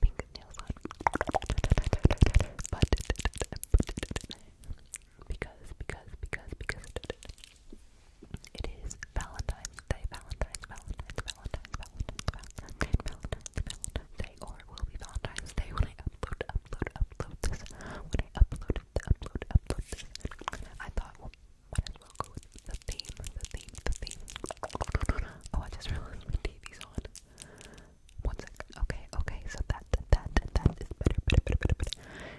pink nails because, because, because, because it is Valentine's Day, Valentine's, Valentine's, Valentine's, Valentine's, Valentine's, Valentine's, Valentine's Day, or it will be Valentine's Day when I upload, upload, upload this. When I upload, upload, upload this. I thought, well, might as well go with the theme, the theme, the theme. Oh, I just realized TV's on. One sec. Okay, okay, so that, that, that is better, better, better, better, better.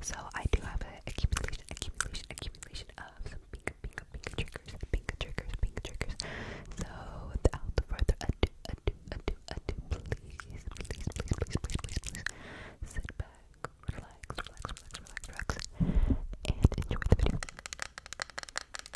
So I do have an accumulation, accumulation, accumulation of some pink, pink, pink triggers, pink triggers, pink triggers. So without further ado, ado, ado, ado, please, please, please, please, please, please, please, please sit back, relax, relax, relax, relax, relax, and enjoy the video.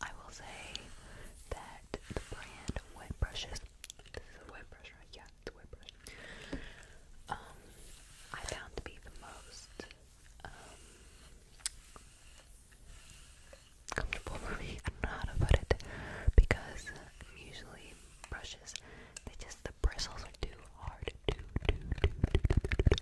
I will say that the brand wet brushes. This is a wet brush, right? Yeah, it's a wet brush. Um, I found to be the most um comfortable for me. I don't know how to put it because usually brushes, they just the bristles are too hard. Too, too, too, too, too, too,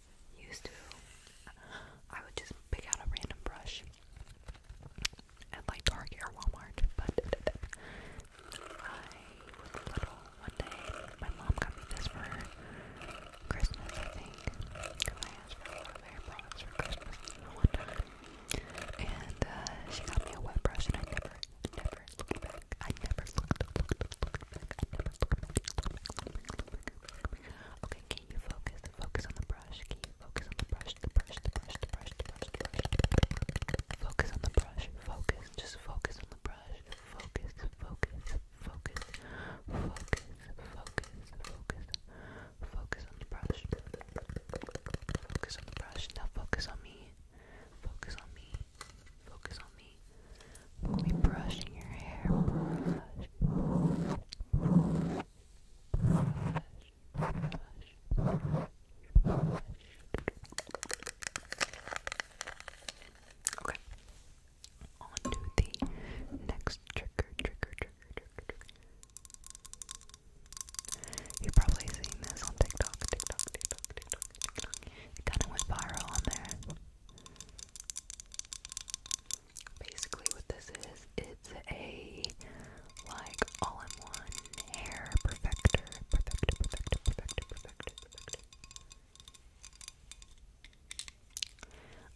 used to, I would just pick out a random brush and like Target or Walmart. But I was little one day. My mom got me this for Christmas, I think, because I asked for a lot hair products for Christmas one time. And she got me a wet brush, and I never, never looked back. I never looked, looked back, Okay, can you focus? Focus on the brush. Can you focus on the brush? The brush, the brush, the brush, the brush, the brush. Focus on the brush. Focus. Just focus on the brush. Focus, focus, focus, focus, focus, focus. Focus on the brush. Focus on the brush. Now focus on me. Focus on me. Focus on me. We'll be brushing your hair. Okay. On to the next trigger, trigger, trigger, trigger, trigger. You've probably seen this on TikTok, TikTok, TikTok, TikTok, TikTok. It kind of went viral on there basically what this is, it's a like all-in-one hair perfector. Perfector, perfector, perfector, perfector, perfector.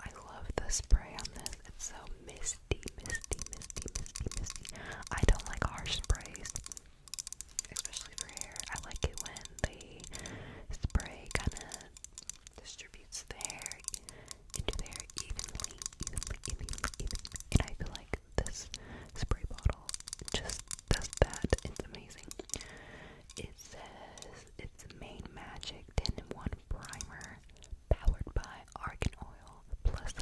I love the spray on this. It's so misty, misty, misty, misty, misty. I don't like harsh sprays, especially for hair. I like it when the spray kind of distributes attributes there into there evenly, evenly, evenly, And I feel like this spray bottle just does that. It's amazing. It says it's main magic 10 in 1 primer powered by argan oil plus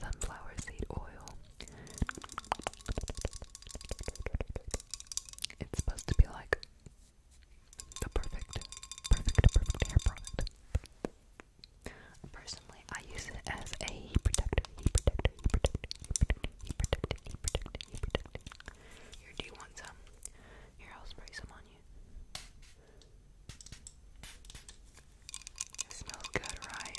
sunflower seed oil. It's supposed to be like the perfect, perfect, perfect hair product. Personally, I use it as a heat protector, heat protector, heat protector, heat protector, heat protector, heat protector. Here, do you want some? Here, I'll spray some on you. It smells good, right?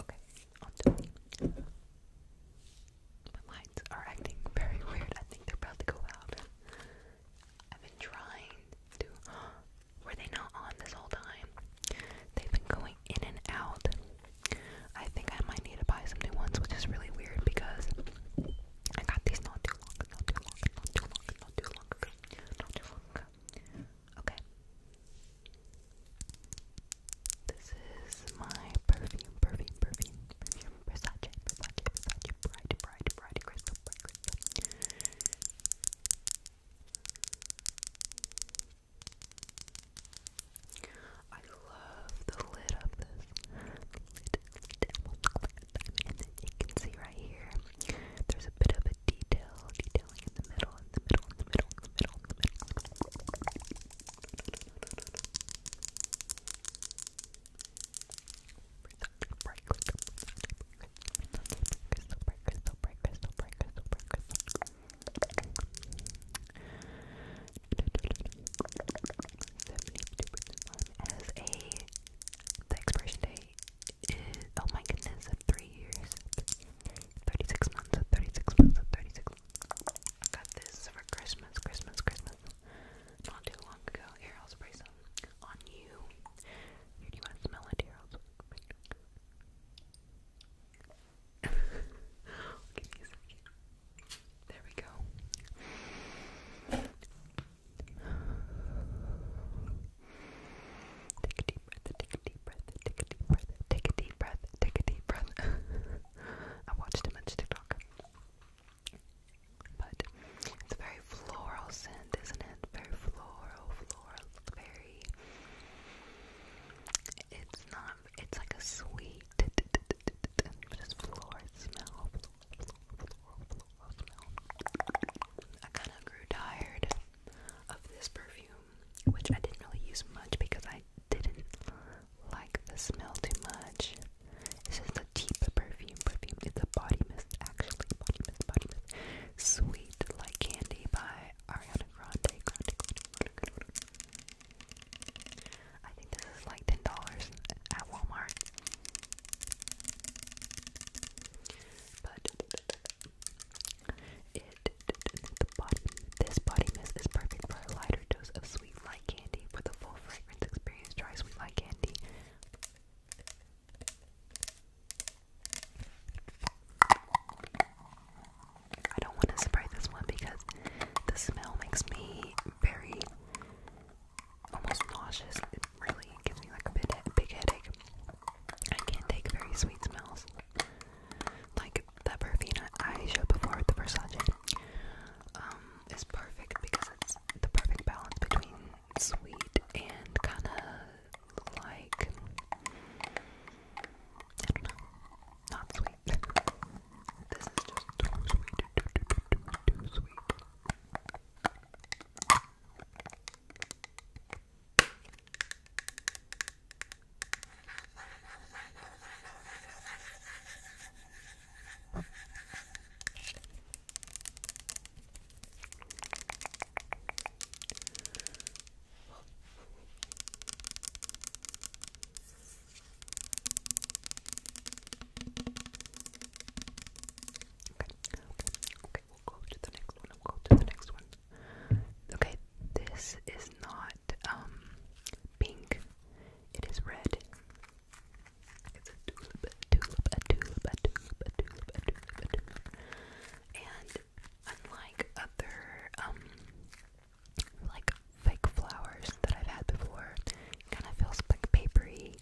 Okay, on My lights are acting very weird. I think they're about to go out. I've been trying to. Were they not on this whole time? They've been going in and out. I think I might need to buy some new ones, which is really weird because I got these not too long, not too long, not too long, not too long not too long Okay. This is my perfume, perfume, perfume, perfume, Versace, Versace, Versace, Bride, Bride, Bride, Crystal, Bride, I love the lid of this. you can see right here, there's a bit of a detail, detailing in the middle, in the middle, in the middle, in the middle, in the middle. Bright, crystal, crystal, as the expiration date is oh my goodness three years, thirty six months, thirty six months, thirty six. I got this for Christmas, Christmas, Christmas. Not too long ago. Here, I'll spray some on you. do you want to smell it? There we go. Take a deep breath, take a deep breath, take a deep breath, take a deep breath, take a deep breath. I watched him on TikTok. But it's a very floral scent, isn't it? Very floral, floral, very. It's not. It's like a sweet, I kind of grew tired of this perfume, which I didn't really use much because I didn't like the smell too much. This is a cheap perfume, perfume. It's a body mist, actually, body mist, body mist. Sweet Like Candy by Ariana Grande. I think this is like ten dollars at Walmart. But it body this body mist is perfect for a lighter dose of sweet light candy for the full fragrance experience. Try sweet light candy. I don't want to spray this one because the smell makes me very almost nauseous. It really gives me like a big, headache. I can't take very sweet smells. Like the perfume I showed before, the Versace, um, is perfect because it's the perfect balance between sweet and kind of like I don't know, not sweet this is just too sweet, too, too, too, too, too sweet. Okay, okay, we'll go to the next one. We'll go to the next one. Okay, this is not um pink. It is red. And unlike other um like fake flowers that I've had before. Kind of feels like papery.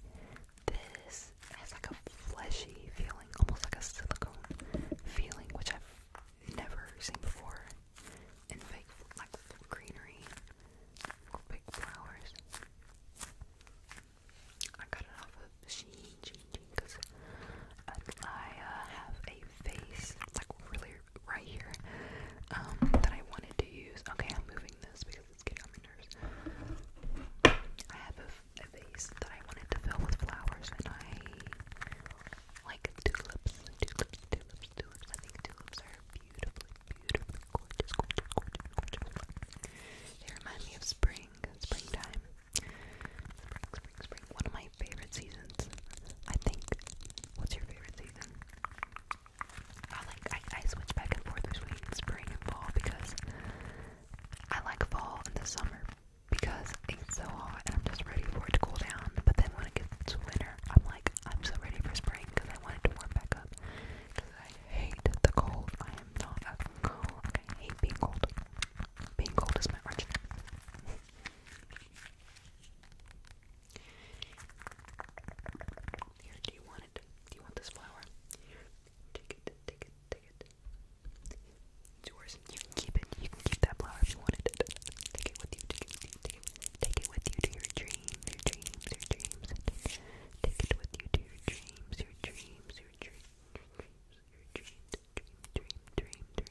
This has like a fleshy feeling, almost like a silicone feeling, which I've never seen before in fake like greenery or fake flowers. I got it off of Shein, Shein, Shein, because I uh, have a face. like really right here. Um, that I wanted to use. Okay, I'm moving this because it's getting on my nerves. I have a, vase that I wanted to fill with flowers, and I like tulips, tulips, tulips, tulips. I think tulips are beautiful, beautifully gorgeous, gorgeous, gorgeous, gorgeous. They remind me of spring, springtime. Spring, spring, spring. One of my favorite seasons. I think. What's your favorite season. I like I, I switch back and forth between spring and fall because I like fall and the summer because it's so hot and I'm just ready for it to cool down. But then when it gets to winter, I'm like I'm so ready for spring because I want it to warm back up. Because I hate the cold. I am not a cold. I hate being cold. Being cold is my arch nemesis. Here, do you want it? Do you want this flower? take it, take it, take it. It's yours. You can keep it. You can keep that flower if you wanted it. Take it with you. Take it with you. Take it with you to your dreams, your dreams, your dreams. Take it with you to your dreams, your dreams, your dreams, your dreams, your dreams, dream, dream, dream, dream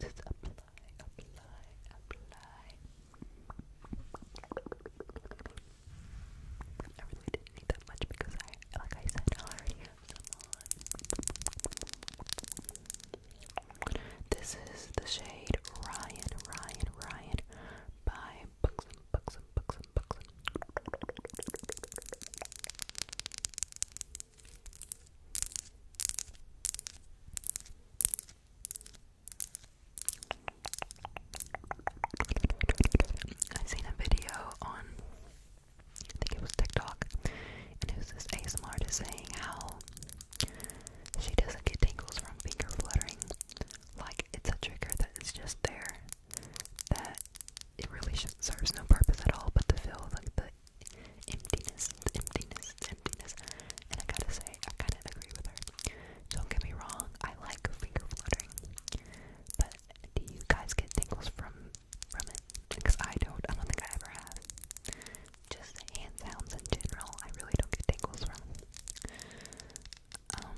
Just apply, apply, apply. I really didn't need that much because I, like I said, I already have some on. This is the shade Ryan, Ryan, Ryan by Books I've a video on, I think it was TikTok, and it was this ASMR just saying how she doesn't get tingles from finger fluttering, like it's a trigger that is just there, that it really serves no purpose at all but to fill like the emptiness, the emptiness, the emptiness. And I gotta say, I kind of agree with her. Don't get me wrong, I like finger fluttering, but do you guys get tingles from from it? Because I don't. I don't think I ever have. Just hand sounds in general, I really don't get tingles from. Um,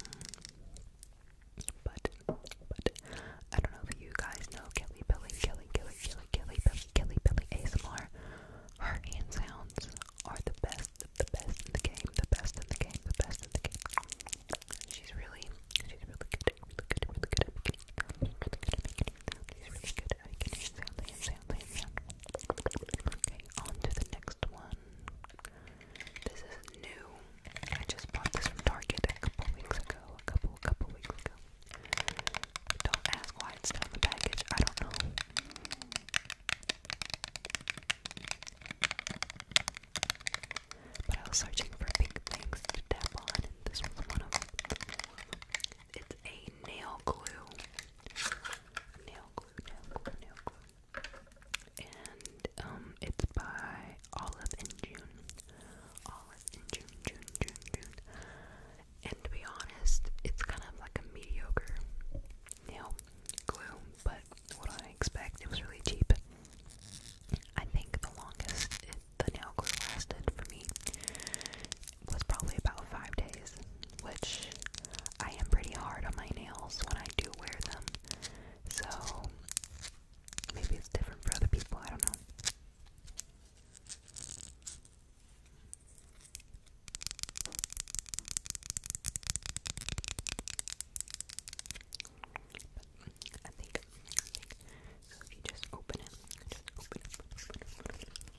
but, but, I don't know if you guys know Kelly Billy, Kelly, Kelly, Kelly, Kelly, Kelly, Billy ASMR. Her hand are the best, the best in the game, the best in the game, the best in the game. She's really, she's really good, really good, really good at making, really good really good Okay, on to the next one. This is new. I just bought this from Target a couple weeks ago. A couple, couple weeks ago. Don't ask why it's not in the package. I don't know. But I was searching for big things to tap on, this was one of them. It's a nail glue. Nail glue. And um, it's by Olive and June. Olive and June, June, June, June. And to be honest, it's kind of like a mediocre nail glue, but what I expect, it was really cheap. I think the longest the nail glue lasted for me was probably about five days, which I am pretty hard on my nails when I do wear them, so maybe it's different for other people. I don't know. I think, so if you just open it, just open it,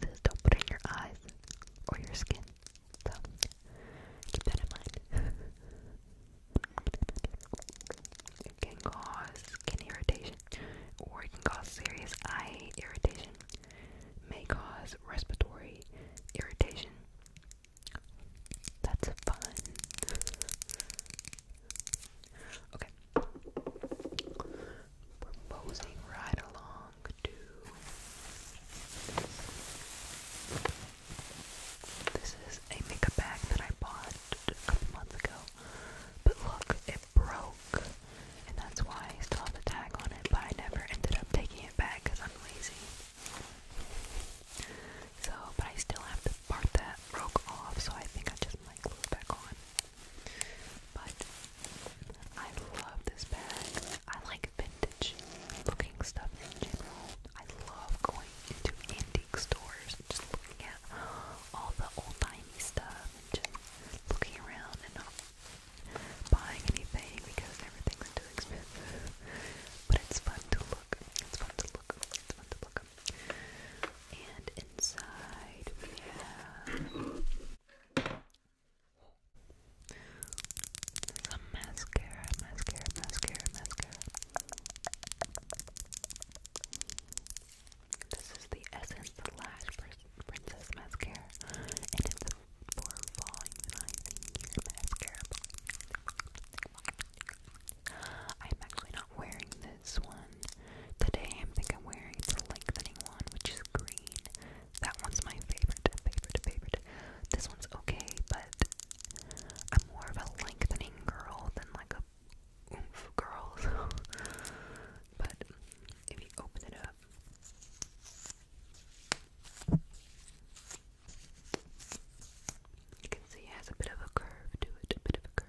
It says don't put in your eyes or your skin. So keep that in mind. it can cause skin irritation or it can cause serious eye irritation. May cause respiratory irritation. That's fun. Okay, we right along to this is a makeup bag that I bought a couple months ago. But look, it broke. And that's why I still have the tag on it, but I never ended up taking it back because I'm lazy. So, but I still have the part that broke off, so I think I just might glue back on. But I love this bag. I like vintage looking stuff in general. I love going into antique stores and just looking at all the old timey stuff and just looking around and not buying anything because everything's too expensive. But it's fun to look. It's fun to look. It's fun to look. And some mascara, mascara, mascara, mascara. This is the Essence Lash Princess Mascara, and it's a for falling behind mascara. I'm actually not wearing this one one. Today I think I'm wearing the lengthening one, which is green. That one's my favorite, favorite, favorite. This one's okay, but I'm more of a lengthening girl than like a oomph girl. So. but if you open it up. You can see it has a bit of a curve to it, a bit of a curve.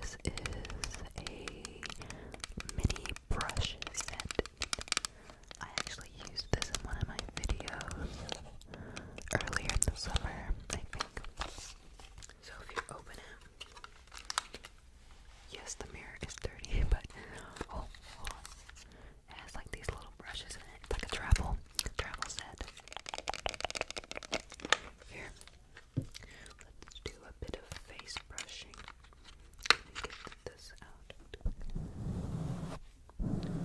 This is a mini brush set. I actually used this in one of my videos earlier in the summer, I think. So if you open it, yes, the mirror is dirty, but oh, oh has like these little brushes in it. It's like a travel travel set. Here, let's do a bit of face brushing. get this out. Okay.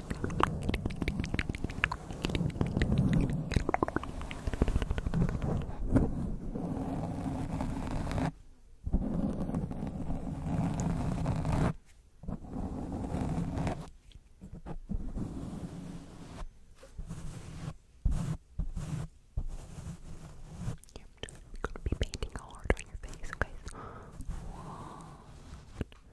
Yep, just gonna be painting hard on your face, okay? One,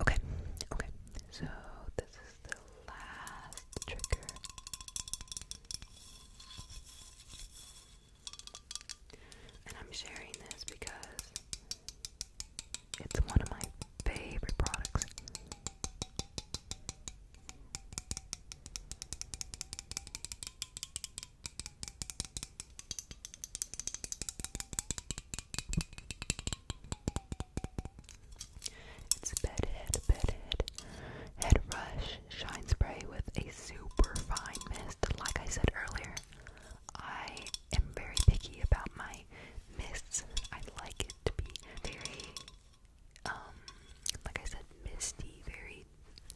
Okay, okay, so this is the last trigger. And I'm sharing this because it's one of my favorite products bedhead, bedhead, head shine spray with a super fine mist. Like I said earlier, I am very picky about my mists. I like it to be very, um, like I said, misty, very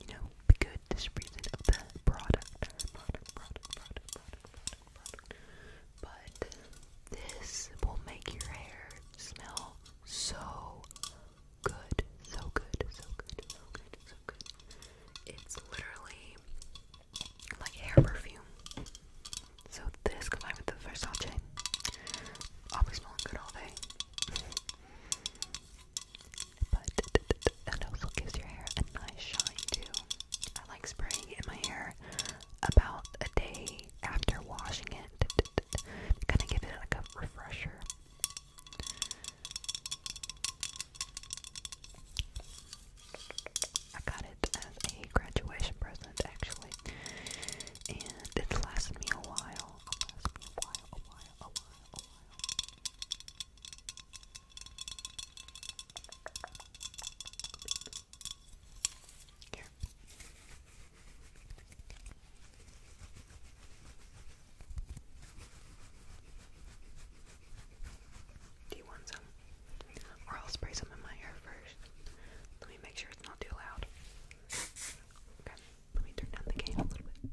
you know, the goodness reason of the product, product, product, product, product, product, product. But this will make your hair smell so good, so good, so good, so good, so good. It's literally like hair perfume. So this combined with the Versace, I'll be smelling good all day but and also gives your hair a nice shine too. I like spraying it in my hair about a day after washing it, kind of give it like a refresher. I got it as a graduation present actually, and it's lasted me a while, do you want some? Or I'll spray some in my hair first. Let me make sure it's not too loud. Okay, let me turn down the gain a little bit.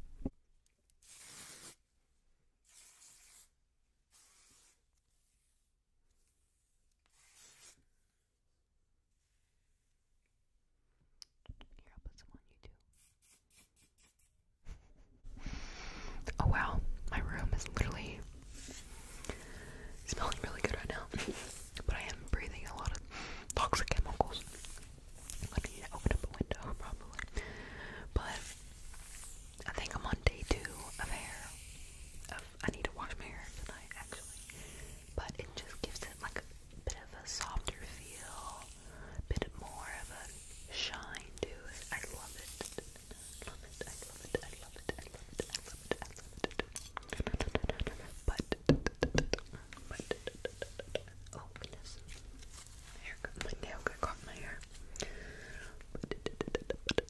oh wow, my room is literally smelling really good right now, but I am breathing a lot of toxic chemicals. I'm open up a window probably. But I think I'm on day two of hair. I need to wash my hair tonight actually. But it just gives it like a bit of a softer feel, bit more of a shine to it. I love it. I love it. I love it. I love it. I love it. I love it. I love it. But Oh, goodness. Hair, my nail got caught in my hair. I'm going to be doing a bit, a bit, a bit, a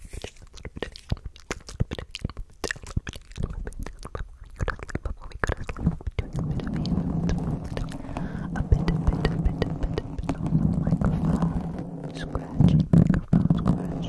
bit, a bit on the microphone. Scratch, microphone, scratch.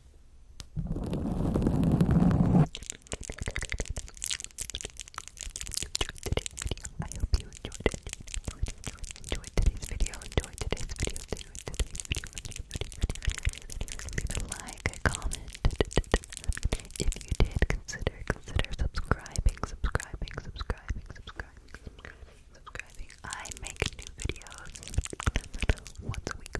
I hope you enjoyed it. Enjoyed, today's video. Enjoyed today's video. Enjoyed today's video. Video, video, video. Leave like, comment. If you did, consider consider subscribing, subscribing, subscribing, subscribing, subscribing, subscribing. I make new videos once a week